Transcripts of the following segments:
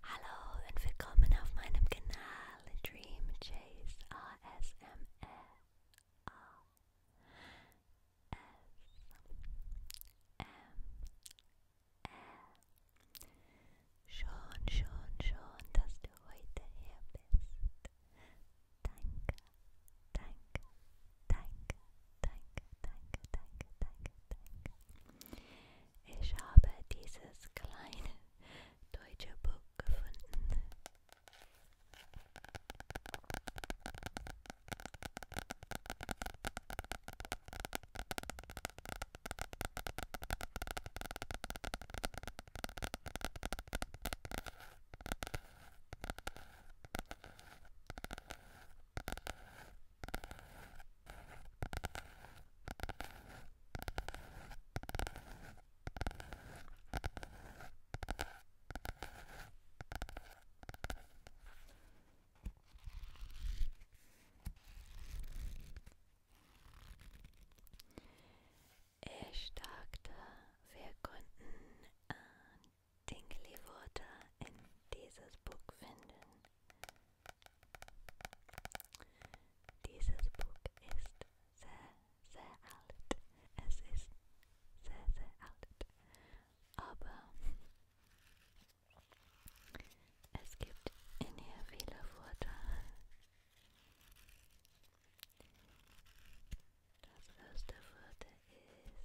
Hello and welcome auf my channel, Dream Chase ASMR. Schon, schon, schon, dass du heute hier bist. Danke, danke, danke, danke, danke, danke, danke, danke. Ich habe dieses kleine deutsche Buch gefunden. Ich dachte, wir konnten äh, Dingley-Worte in dieses Buch finden. Dieses Buch ist sehr, sehr alt. Es ist sehr, sehr alt. Aber es gibt in ihr viele Vorteile. Das erste Vorteil ist,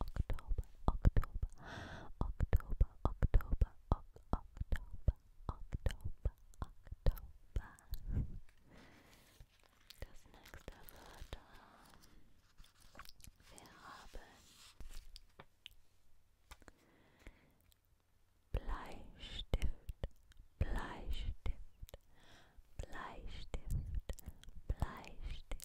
Oktober, Oktober, Oktober, Oktober, Oktober, Oktober, Oktober. Das nächste Wort wir haben Bleistift, Bleistift, Bleistift, Bleistift,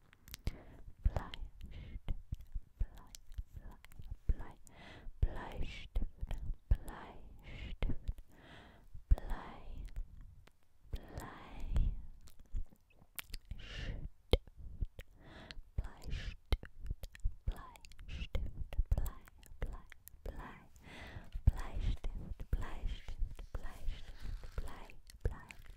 Bleistift, Blei, Blei, Blei, Bleistift, Bleistift, Blei, Blei, Stift, Bleistift, Bleistift, Blei, Blei, Blei, Bleistift, Bleistift, Bleistift, Blei, Blei,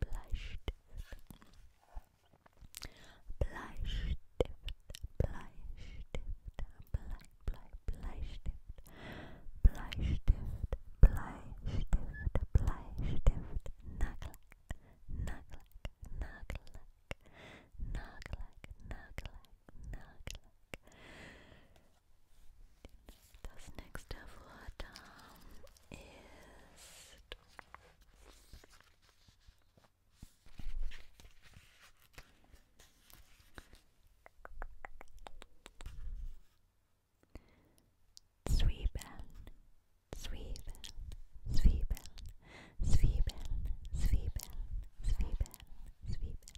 Bleistift, Bleistift, Bleistift, Blei, Blei, Bleistift, Bleistift, Bleistift, Bleistift, Nagellack, Nagellack, Nagellack, Nagellack, Nagellack, Nagellack, Das nächste Wort ähm, ist Zwiebeln, Zwiebeln, Zwiebeln, Zwiebeln, Zwiebeln, Zwiebeln, Zwiebeln,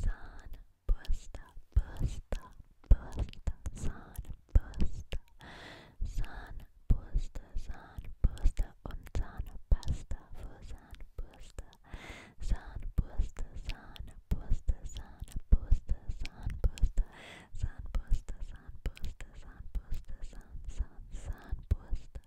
San Busta, Busta, Busta, San Busta, San Busta, San Busta und Zahnpasta für Zahnbürste, Zahnbürste, Zahnbürste, Zahnbürste, Zahnbürste, Zahnbürste, Zahnbürste, Zahnbürste, Zahn, Zahn, Zahnbürste.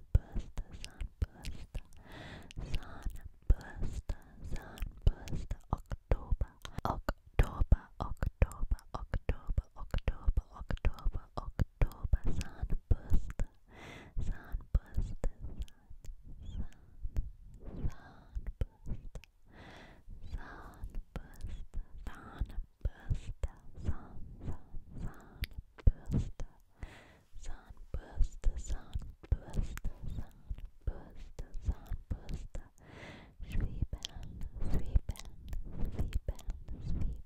sunburst, sunburst, sunburst, sunburst, October, October, October, October, October, October, October, sunburst, sunburst, sun, sunburst, sunburst, sunburst. Sunburster, sun, sun, sunburster, sunburster, sunburster, sunburster, sunburster, sweepin', sweepin', sweepin',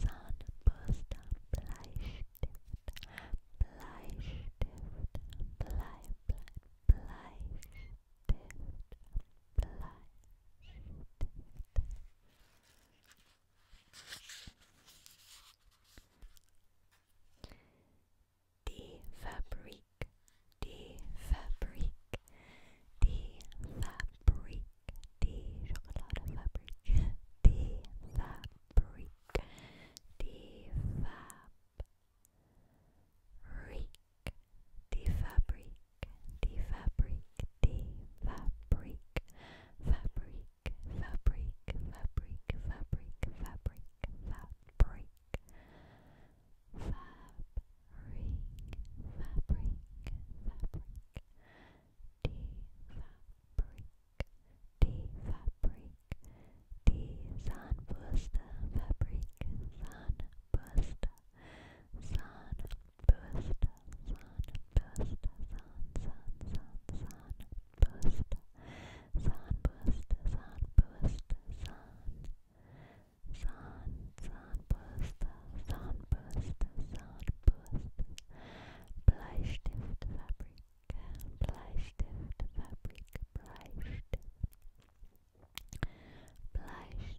sweepin', sunburster, Bleistift, Bleistift, Blei, Blei, Bleistift, Bleistift. The fabric, the fabric, the fabric, the chocolate fabric, the fabric, the fab, rick, the fabric, the fabric, the fabric, fabric, fabric, fabric, fabric, fabric, fabric, fab, ring, fabric, fabric, the fabric, the fabric, the sunburst fabric, sunburst, sunburst boost, sun, boost, sun, sun, sun, sun, boost, sun, boost, sun, boost, sun, sun, sun, boost, sun, boost, sun, boost, Bleistift fabric, Bleistift fabric, Bleistift. Bleistift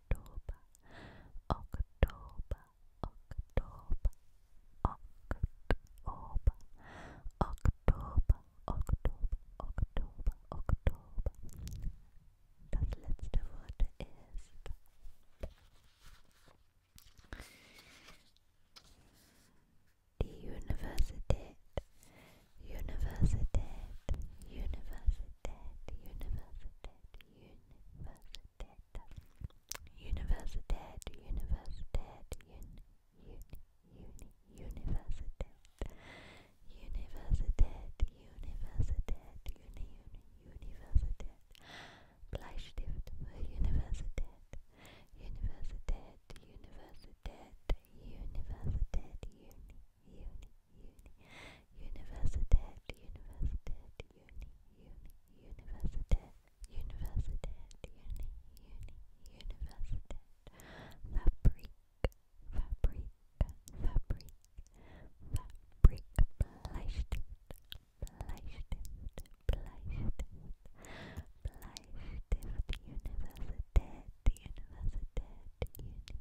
October, October, October, October, October, October, October, October. Das letzte Wort ist die Universität, Universität, Universität, Universität, Universität, Universität, Universität, un, uni, uni, Universität, Universität, Universität, uni, uni, Universität, Bleistift für Universität, Universität, Universität, Universität, uni uni, uni, universitet, universitet, uni, uni, universitet, universitet, uni, uni, universitet, fabric, fabric, fabric, fabric, Bleistift, Bleistift, Bleistift, Bleistift, Universität, Universität, Uni,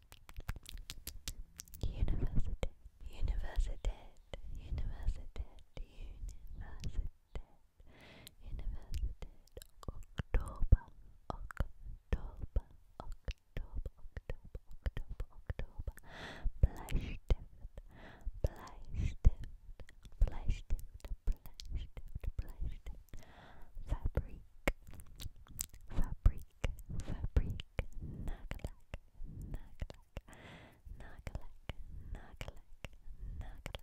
University, university, university, university, university, October, October, October, October, October, October, Bleistift, Bleistift, Bleistift, Bleistift, Bleistift, Fabric, Fabric, Fabrique, Fabrique, Nagalak, Nagalak, Nagalak, Nagalak, Nagalak,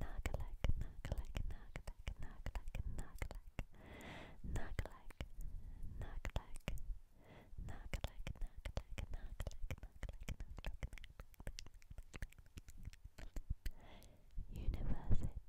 Nagalak, Nagalak, Nagalak, Nagalak, Nagalak, Nagalak, Nagalak, Nagalak, Nagalak, Nagalak, Nagalak, Universitet